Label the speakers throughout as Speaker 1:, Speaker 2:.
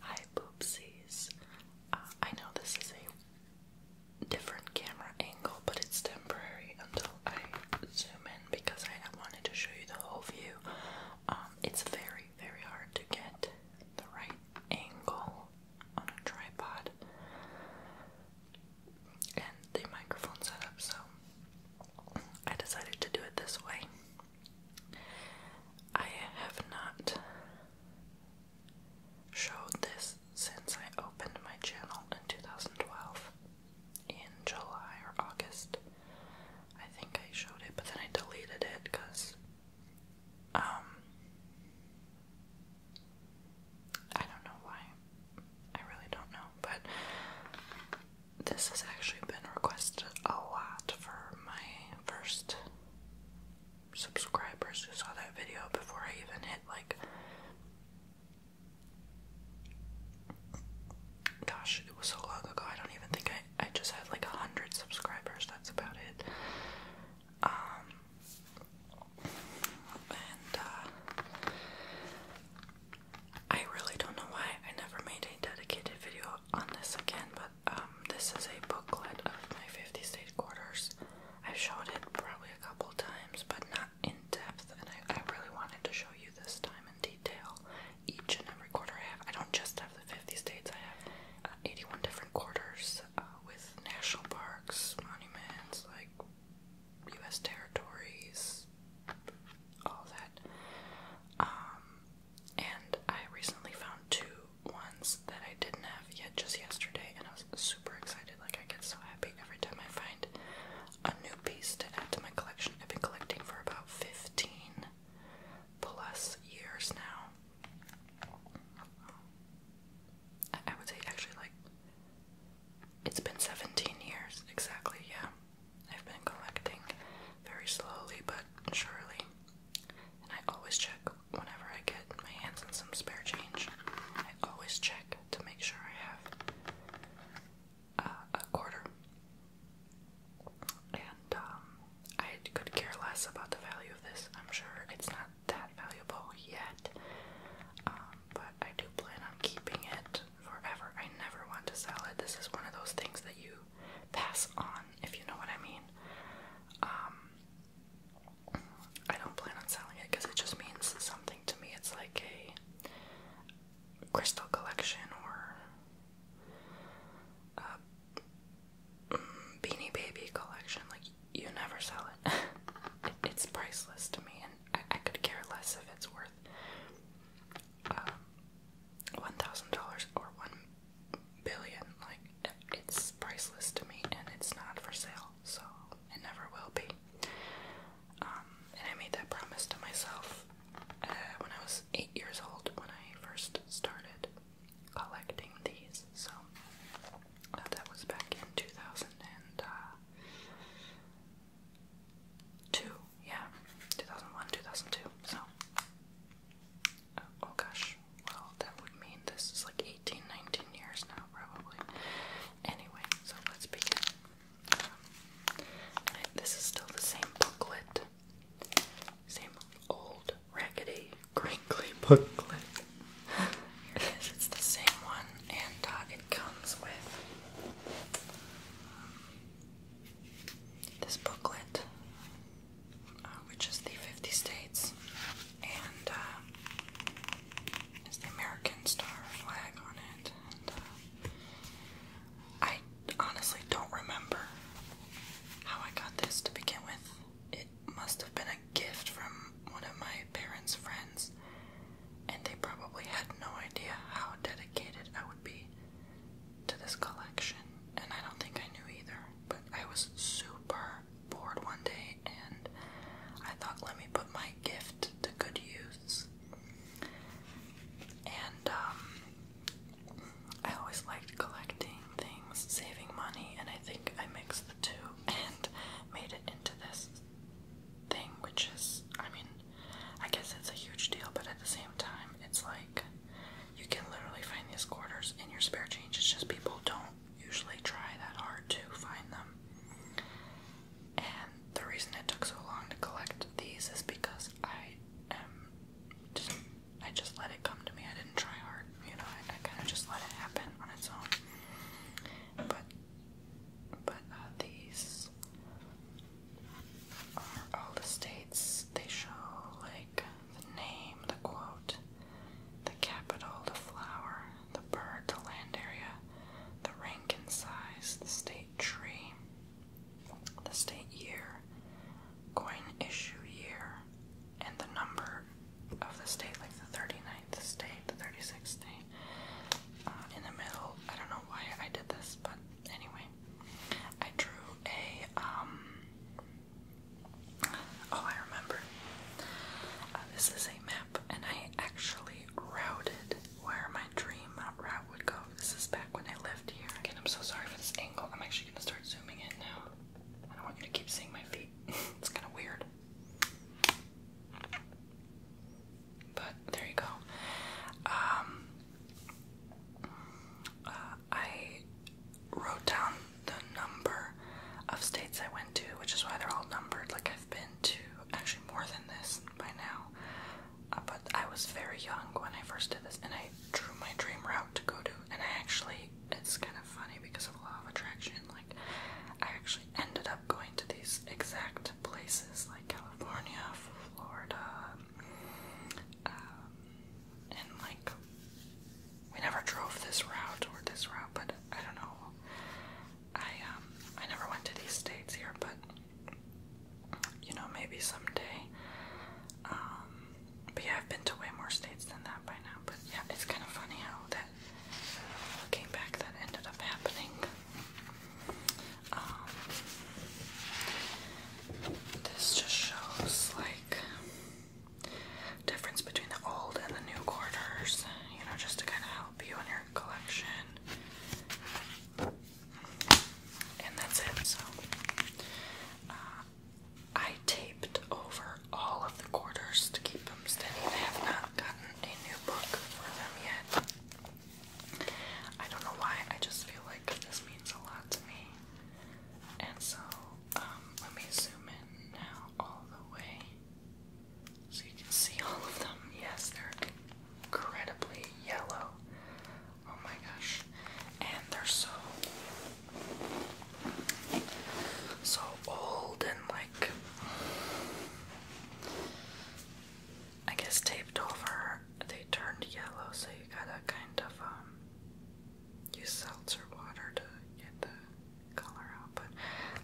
Speaker 1: Hi, poopsies. Uh, I know this is a different camera angle, but it's temporary until I zoom in because I wanted to show you the whole view. Um, it's very, very hard to get the right angle on a tripod and the microphone setup, so I decided to do it this way. I have not showed this since I opened my channel in 2012 in July or August. I think I showed it, but then I deleted it because um, I don't know why. I really don't know, but this has actually been requested a lot for my first subscribers who saw that video before I even hit like gosh, it was so long ago, I don't even think I I just had like a hundred subscribers, that's about it. Um and uh I really don't know why I never made a dedicated video on this again, but um, this is a booklet of my 50 state quarters. I've showed it probably a couple times, but not in depth, and I, really wanted to show you this time in detail each and every quarter I have. I don't just have the 50 states, I have uh, 81 different quarters uh, with national parks, monuments, like U.S. territories, all that. Um, and I recently found two ones that I didn't have yet just yesterday, and I was super excited. Like, I get so happy every time I find a new piece to add to my collection. I've been collecting for about 15 plus years now. I, would say, actually, like, it's been 17 years exactly, yeah. I've been collecting very slowly but surely. And I always check whenever I get my hands on some spare change. I always check to make sure I have uh, a quarter. And um, I could care less about the value of this. I'm sure it's not that valuable yet. Um, but I do plan on keeping it forever. I never want to sell it. This is one of those things that you pass on, if you know what I mean. Um, I don't plan on selling it because it just means something to me. It's like a crystal collection or a mm, Beanie Baby collection. Like, you never sell it. it's priceless to me, and I, could care less if it's worth um, $1,000 or $1 billion. Like, it's priceless to me, and it's not for sale, so it never will be. Um, and I made that promise to myself uh, when I was eight years old when I first started collecting these. So uh, that was back in 2000 and. Uh, yeah, 2001, 2002. So, Oh, gosh. Well, that would mean this is like 18, 19 years now, probably. Anyway, so let's begin. Um, this is still the same booklet. Same old, raggedy, crinkly booklet. Here it is. It's the same one, and uh, it comes with um, this booklet. Uh, which is the 50 states, and uh, the American star flag on it. Uh, I honestly don't remember how I got this to begin with. It must have been a gift from one of my parents' friends, and they probably had no idea how dedicated I would be to this collection, and I don't think I knew either. But I was super bored one day, and I thought, let me put my gift to good use. And um, I always liked collecting things, saving money, and I think I mixed the two and made it into this thing, which is, I mean, I guess it's a huge deal, but at the same time, it's like you can literally find these quarters in your spare change. It's just people don't usually try that hard to find them. And the reason it took so long to collect these is because I am just I just let it come to me. I didn't try hard, you know, I, kinda just let it happen on its own. But but uh, these are all the states. They show like the name, the quote, the capital, the flower, the bird, the land area, the rank and size, the state tree, the state year, coin issue year, and the number of the state, like the 39th state, the 36th state. Uh, in the middle, I don't know why I did this, but anyway, I drew a um Oh, I remember. Uh, this is a map, and I actually routed where my dream route would go. This is back when I lived here. Again, I'm so sorry for this angle. I'm actually gonna start zooming in now. I don't want you to keep seeing my feet. it's kind of weird. But there you go. Um, uh, I wrote down the number of states I went to, which is why they're all numbered. Like, I've been to actually more than this by now. Uh, but I was very young when I first did this, and I drew my dream route to go to. And I actually, it's kind of funny because of law of attraction. Like, I actually ended up going to these exact places, like California, Florida, um, and like we never drove this route or this route, but I don't know. I um I never went to these states here, but you know maybe someday. Um, but yeah, I've been to way more states than that by now. But yeah, it's kind of funny how that looking back that ended up happening. Um, this just shows like difference between the old and the new quarters, you know, just to kind of help you in your collection. And that's it. So uh, I taped over all of the quarters to keep them steady. I have not gotten a new book for them yet. I don't know why, I just feel like this means a lot to me. And so, um, let me zoom in now all the way so you can see all of them. Yes, they're incredibly yellow. Oh my gosh. And they're so so old and like I guess taped over. They turned yellow, so you gotta kind of um use salt or water to get the color out. But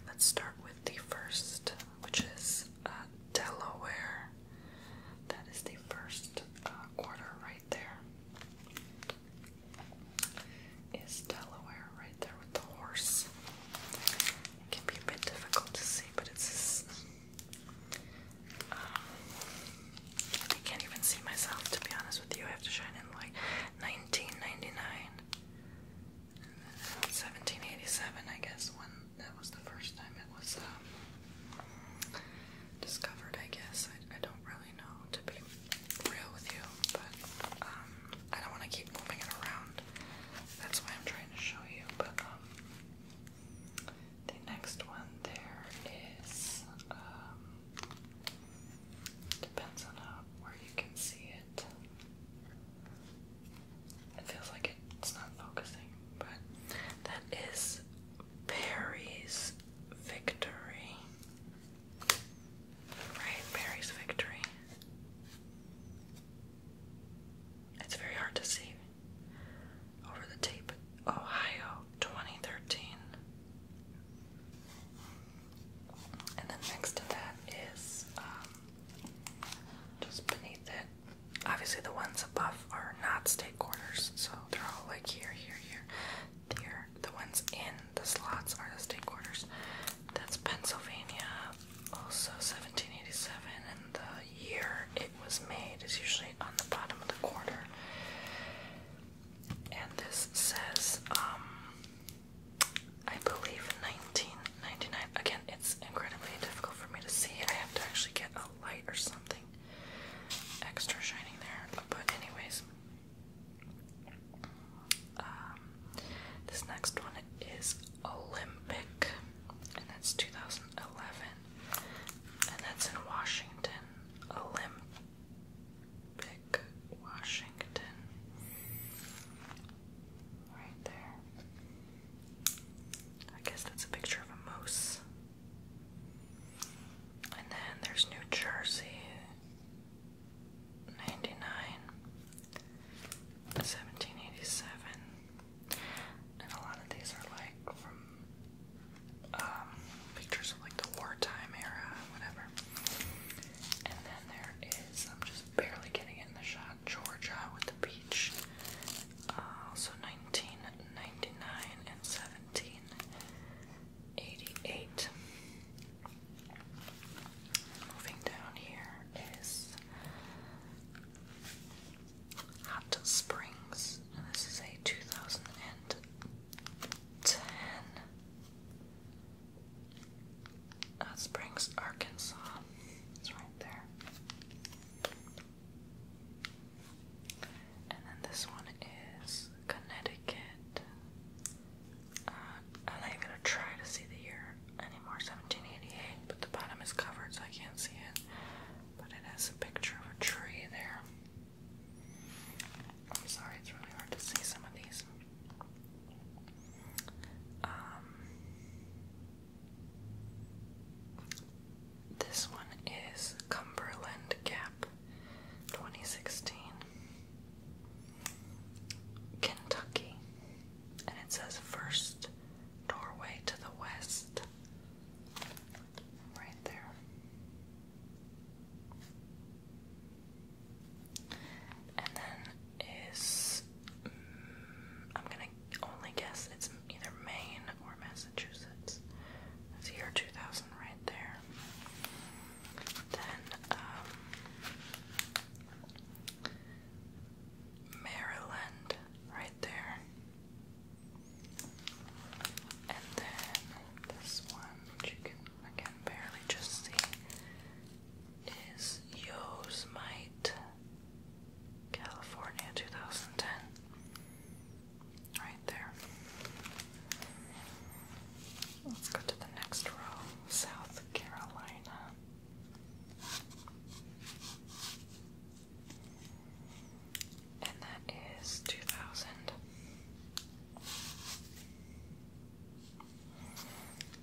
Speaker 1: let's start with the first, which is uh, Delaware. That is the first uh, quarter right there. Is Delaware right there with the horse? It can be a bit difficult to see, but it's this um, I can't even see myself to be honest with you. I have to shine in like 1999 1787, I guess, when that was the first time it was um, discovered, I guess. I, don't really know, to be real with you, but um, I don't want to keep moving it around. That's why I'm trying to show you. But um, the next one there is Depends on uh, where you can see it. It feels like it's not focusing, but that is Perry's Victory. Right, Perry's Victory. It's very hard to see over the tape, Ohio 2013. And then next to that is um, just beneath it. Obviously, the ones above are not state quarters, so they're all like here, here, here. Here, the ones in the slots are the state quarters. That's Pennsylvania, also 1787, and the year it was made is usually on the bottom of the quarter. And this says, um, I believe 1999. Again, it's incredibly difficult for me to see. I have to actually get a light or something extra shining there. But anyways, um, this next one is Olympic, and that's 2011, and that's in Washington. Olympic. Pick Washington. Right there. I guess that's a picture of a moose. And then there's New Jersey 99, And a lot of these are like from um, pictures of like the wartime era, whatever. And then there is, I'm just barely getting it in the shot, Georgia with the beach. Uh, 1999 and 1788. Moving down here is Hot Springs, and this is a 2010 ten. Hot Springs, Arkansas. It's right there. And then this one is Connecticut. Uh, I'm not even gonna try to see the year anymore. 1788, but the bottom is covered, so I can't see it. But it has a picture of a tree there. I'm sorry, it's really hard to see some of these. Um, this one is Cumberland Gap 2016, Kentucky, and it says first doorway to the west right there. And then is mm, I'm gonna only guess it's either Maine or Massachusetts. That's year 2000 right there. Then um, Maryland right there. And then this one which you can I can barely just see, is Yosemite, California, 2010. Right there. Let's go to the next row, South Carolina. And that is 2000.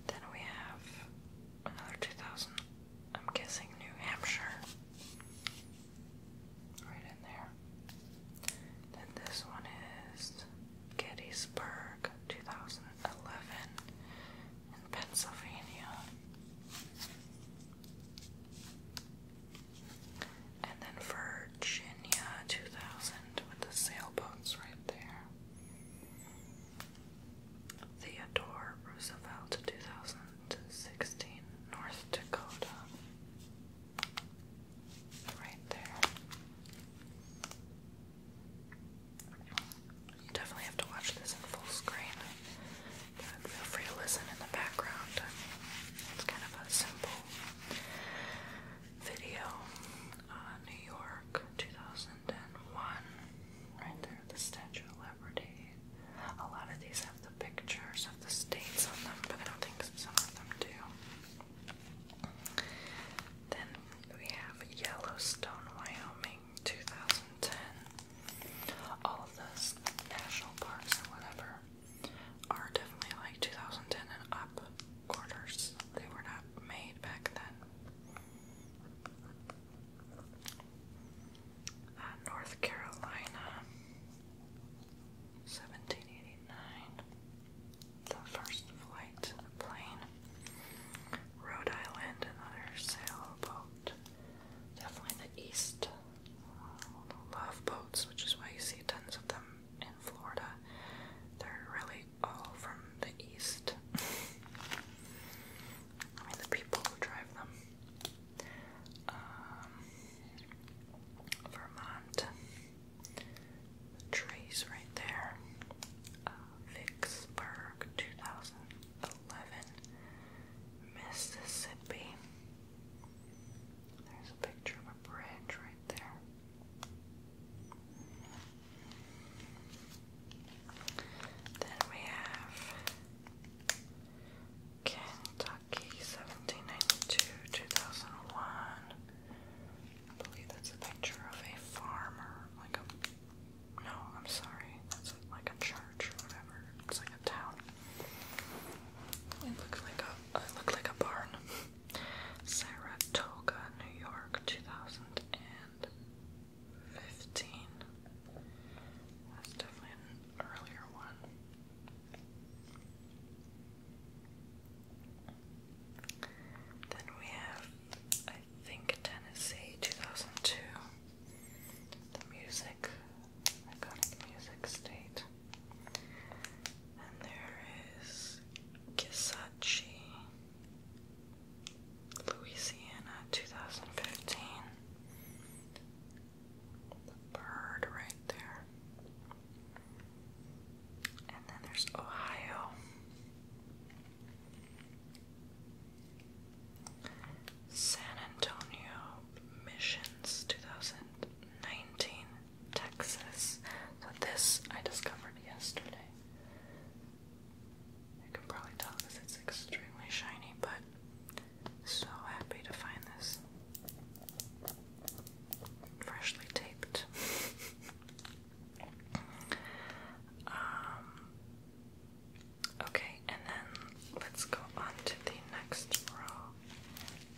Speaker 1: Then we have another 2000, I'm guessing New Hampshire. Right in there. Then this one is Gettysburg 2011 in Pennsylvania. And then Virginia 2000 with the sailboats right there. Theodore Roosevelt 2016 North Dakota. Right there. You definitely have to watch this in full screen, but feel free to listen in the background. It's kind of a simple video, uh, New York, 2001, right there, the Statue of Liberty. A lot of these have the pictures of the states on them, but I don't think some of them do. Then we have Yellowstone, Wyoming, 2010. All of those national parks and whatever are definitely like 2010 and up quarters. They were not made back then. Uh, North Carolina, 1789. The first flight of the plane. Rhode Island, another sailboat. Definitely the East. Love boats, which is why you see tons of them in Florida. They're really all from the east. I mean, the people who drive them. Um, Vermont. trees right there. Uh, Vicksburg, 2011. Mississippi. There's a picture of a bridge right there. Then we have Kentucky 1792 2001. I believe that's a picture of a farmer, like a. No, I'm sorry. That's like a church or whatever. It's like a town. It looks like a. It looked like a barn. Saratoga, New York, 2015. That's earlier one. Then we have, I think, Tennessee 2002. The music, iconic music state. And there is Kisachi, Louisiana, 2015. The bird right there. And then there's Ohio. San Antonio Missions 2019. Texas. So this I discovered yesterday. You can probably tell because it's extremely shiny, but so happy to find this. Freshly taped. Um, okay, and then let's go on to the next row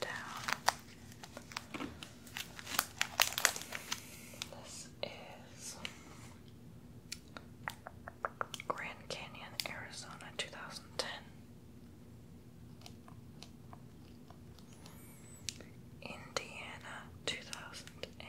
Speaker 1: down. This is Grand Canyon, Arizona, 2010. Indiana, 2002.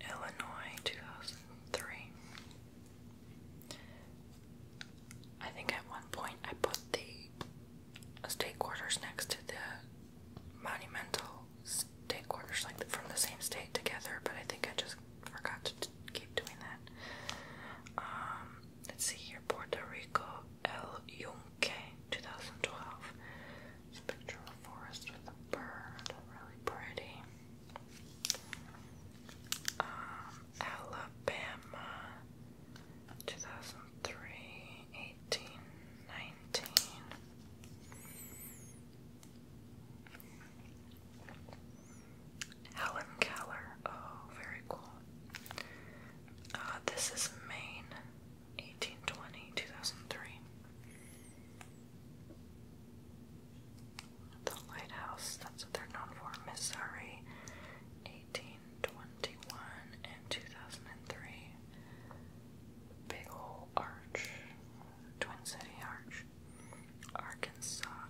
Speaker 1: Illinois, 2003. I think at one point I put the state quarters next to the monumental state quarters, like from the same state together, but I think I just forgot to keep doing that. Um, let's see here Puerto Rico, El 2012. This picture of a forest with a bird, really pretty. Um, Alabama, 2003, Helen Keller, oh, very cool. Uh, this is Maine. 1820, 2003. The lighthouse, that's what they're known for. Missouri, 1821 and 2003. Big Ol' Arch, Twin City Arch. Arkansas,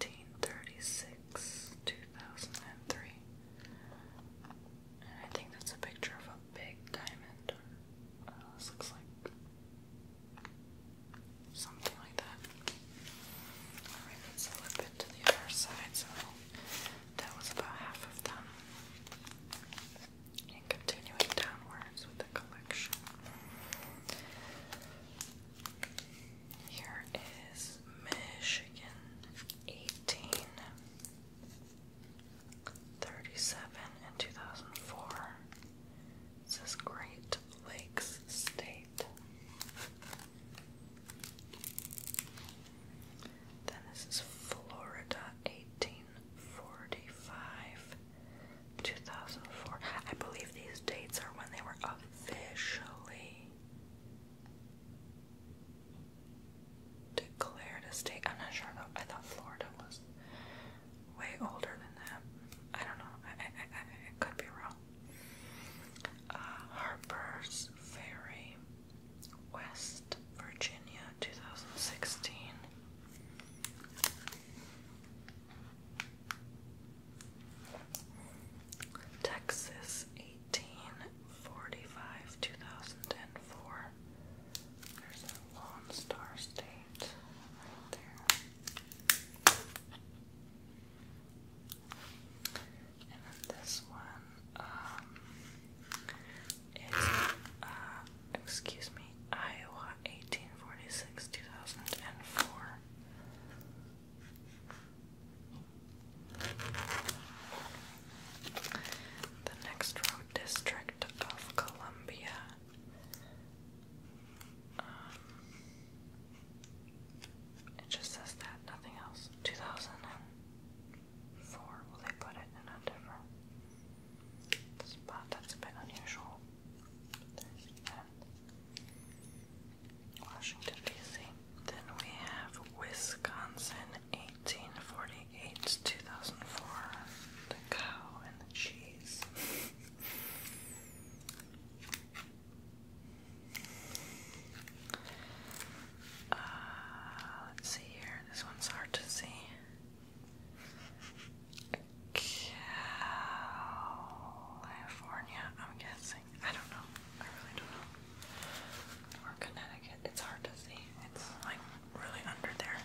Speaker 1: 1836, 2003. And I think that's a picture of big diamond uh, this looks like something like that. let's flip it to the other side. So that was about half of them. And continuing downwards with the collection. Here is Michigan 18. 37 in 2004. This is Great Lakes State. Then this is Florida 1845, 2004. I believe these dates are when they were officially declared a state. I'm not sure though. I thought Florida was way older than that. I don't know. I, I, I, could be wrong. Uh, Harper's Ferry, West Virginia, 2016. Texas 1845 2004 there's a Lone Star State right there. And then this one, um, uh, excuse me, Iowa 1846 2004. The next road district District of Columbia. Um, it just says that, nothing else. 2004, will they put it in a different spot? That's a bit unusual. Washington, D.C. Then we have Wisconsin 1848 to 2004. The cow and the cheese. Uh, let's see here. This one's hard to see. California, I'm guessing. I don't know. I really don't know. Or Connecticut. It's hard to see. It's like really under there.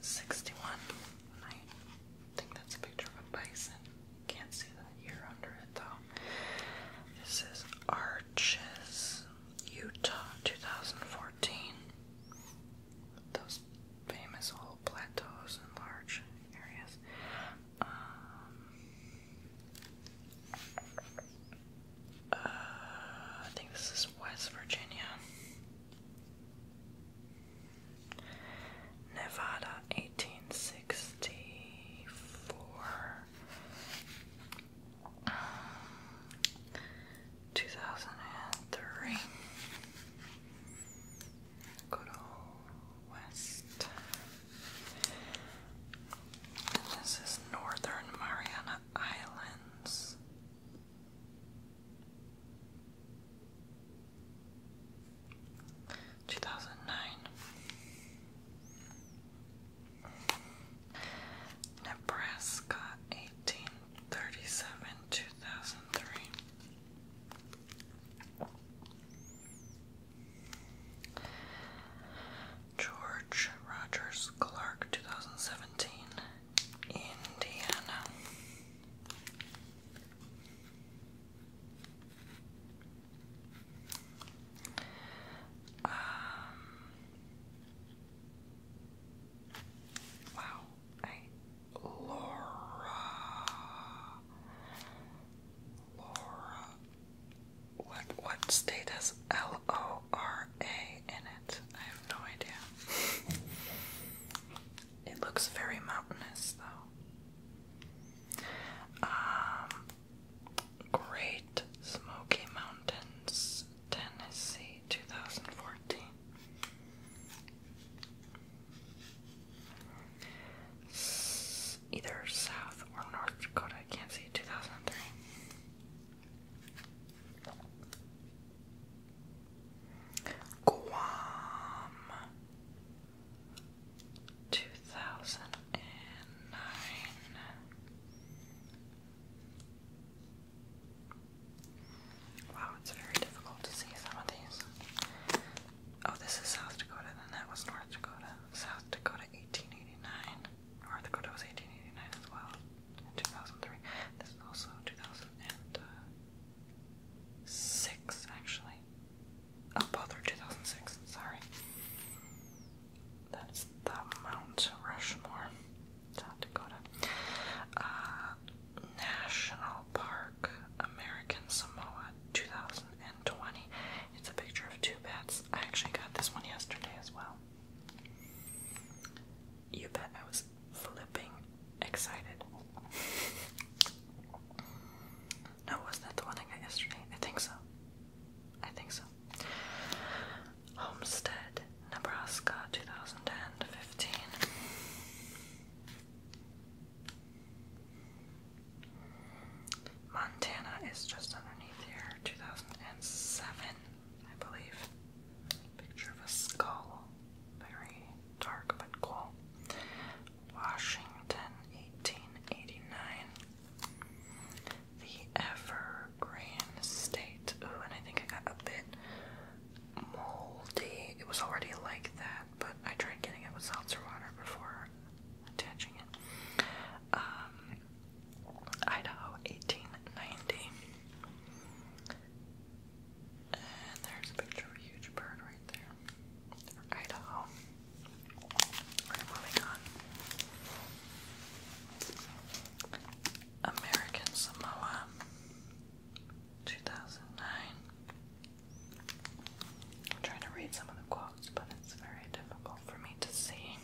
Speaker 1: 61. I think that's a picture of a bison. Can't see the year under it though. This is Arches, Utah, 2014. Those famous old plateaus and large areas. Um, uh, I think this is West Virginia. Nevada, eighteen sixty four. Um, 2003 good old west this is northern Mariana Islands Two thousand nine, Nebraska, eighteen thirty-seven, two thousand three. George Rogers Clark, 2017, Indiana. Um, wow, Laura, Laura. What what state has L O R A in it? I have no idea. It looks very mountainous, though. Um, Great Smoky Mountains, Tennessee, 2014. either South or North Dakota, I can't see, 2003. Guam, two thousand and nine. Wow, it's very difficult to see some of these. Oh, this is South Dakota, and that was North Dakota. South Dakota, 1889. North Dakota was 1889 as well, in 2003. This is also 2000 and, uh, six actually. Oh, both are 2006. Sorry. That's the Mount Rushmore, South Dakota. Uh, National Park, American Samoa, 2020. It's a picture of two bats. I actually got this one yesterday as well. You bet I was flipping excited. No, oh, was that the one I got yesterday? I think so. I think so. Homestead, Nebraska, 2010 Montana is just underneath here, 2007, I believe. Picture of a skull very dark but cool. Washington, 1889. The Evergreen State. Ooh, and I think it got a bit moldy. It was already like that, but I tried getting it with seltzer water before attaching it. Um, Idaho, 1890. And there's a picture of a huge bird right there. Idaho. We're moving on. American Samoa 2009. I'm trying to read some of the quotes, but it's very difficult for me to see.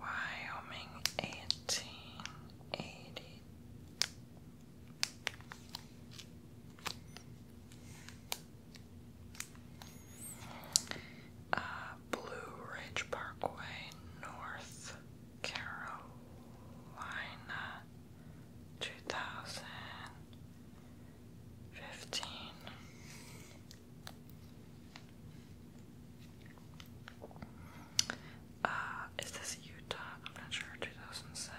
Speaker 1: Wyoming 1882. Uh, Blue Ridge Parkway, North Carolina, 2015. Uh, is this Utah? I'm not sure. 2007.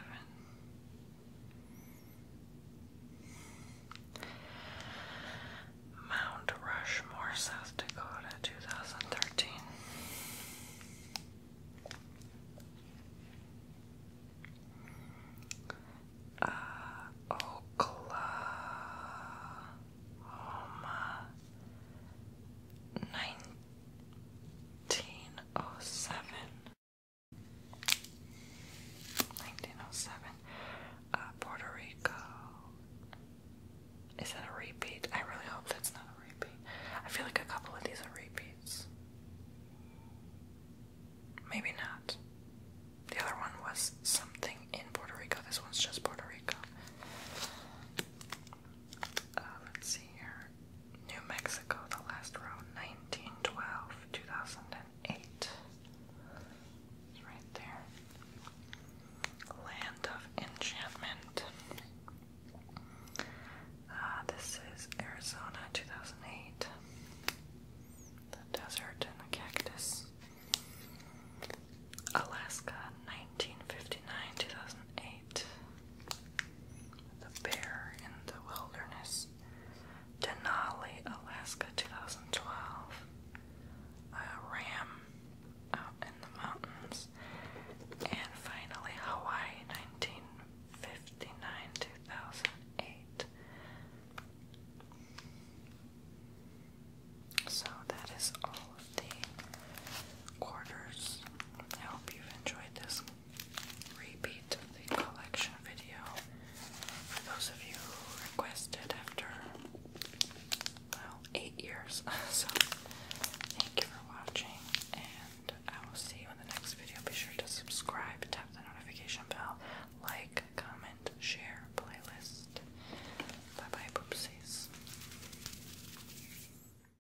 Speaker 1: Mount Rushmore, South Dakota, 2013. Uh, Oklahoma, 19. 1907. 1907. Uh, Puerto Rico. Is that a repeat? I really hope that's not a repeat. I feel like a couple of these are repeats. Maybe not. The other one was something in Puerto Rico. This one's just Puerto Rico. Uh, let's see here. New Mexico, the last row, 1912, 2008. right there. Land of Enchantment. Uh, this is Arizona, 2008. The Desert and the Cactus. Alaska, 1959, 2008. The Bear in the Wilderness, Denali, Alaska, 2012. A ram out in the mountains, and finally Hawaii, 1959, 2008. So that is all of the quarters. I hope you've enjoyed this repeat of the collection video. For those of you who requested after, well, eight years. so, thank you for watching, and I will see you in the next video. Be sure to subscribe, tap the notification bell, like, comment, share, playlist. Bye bye, poopsies.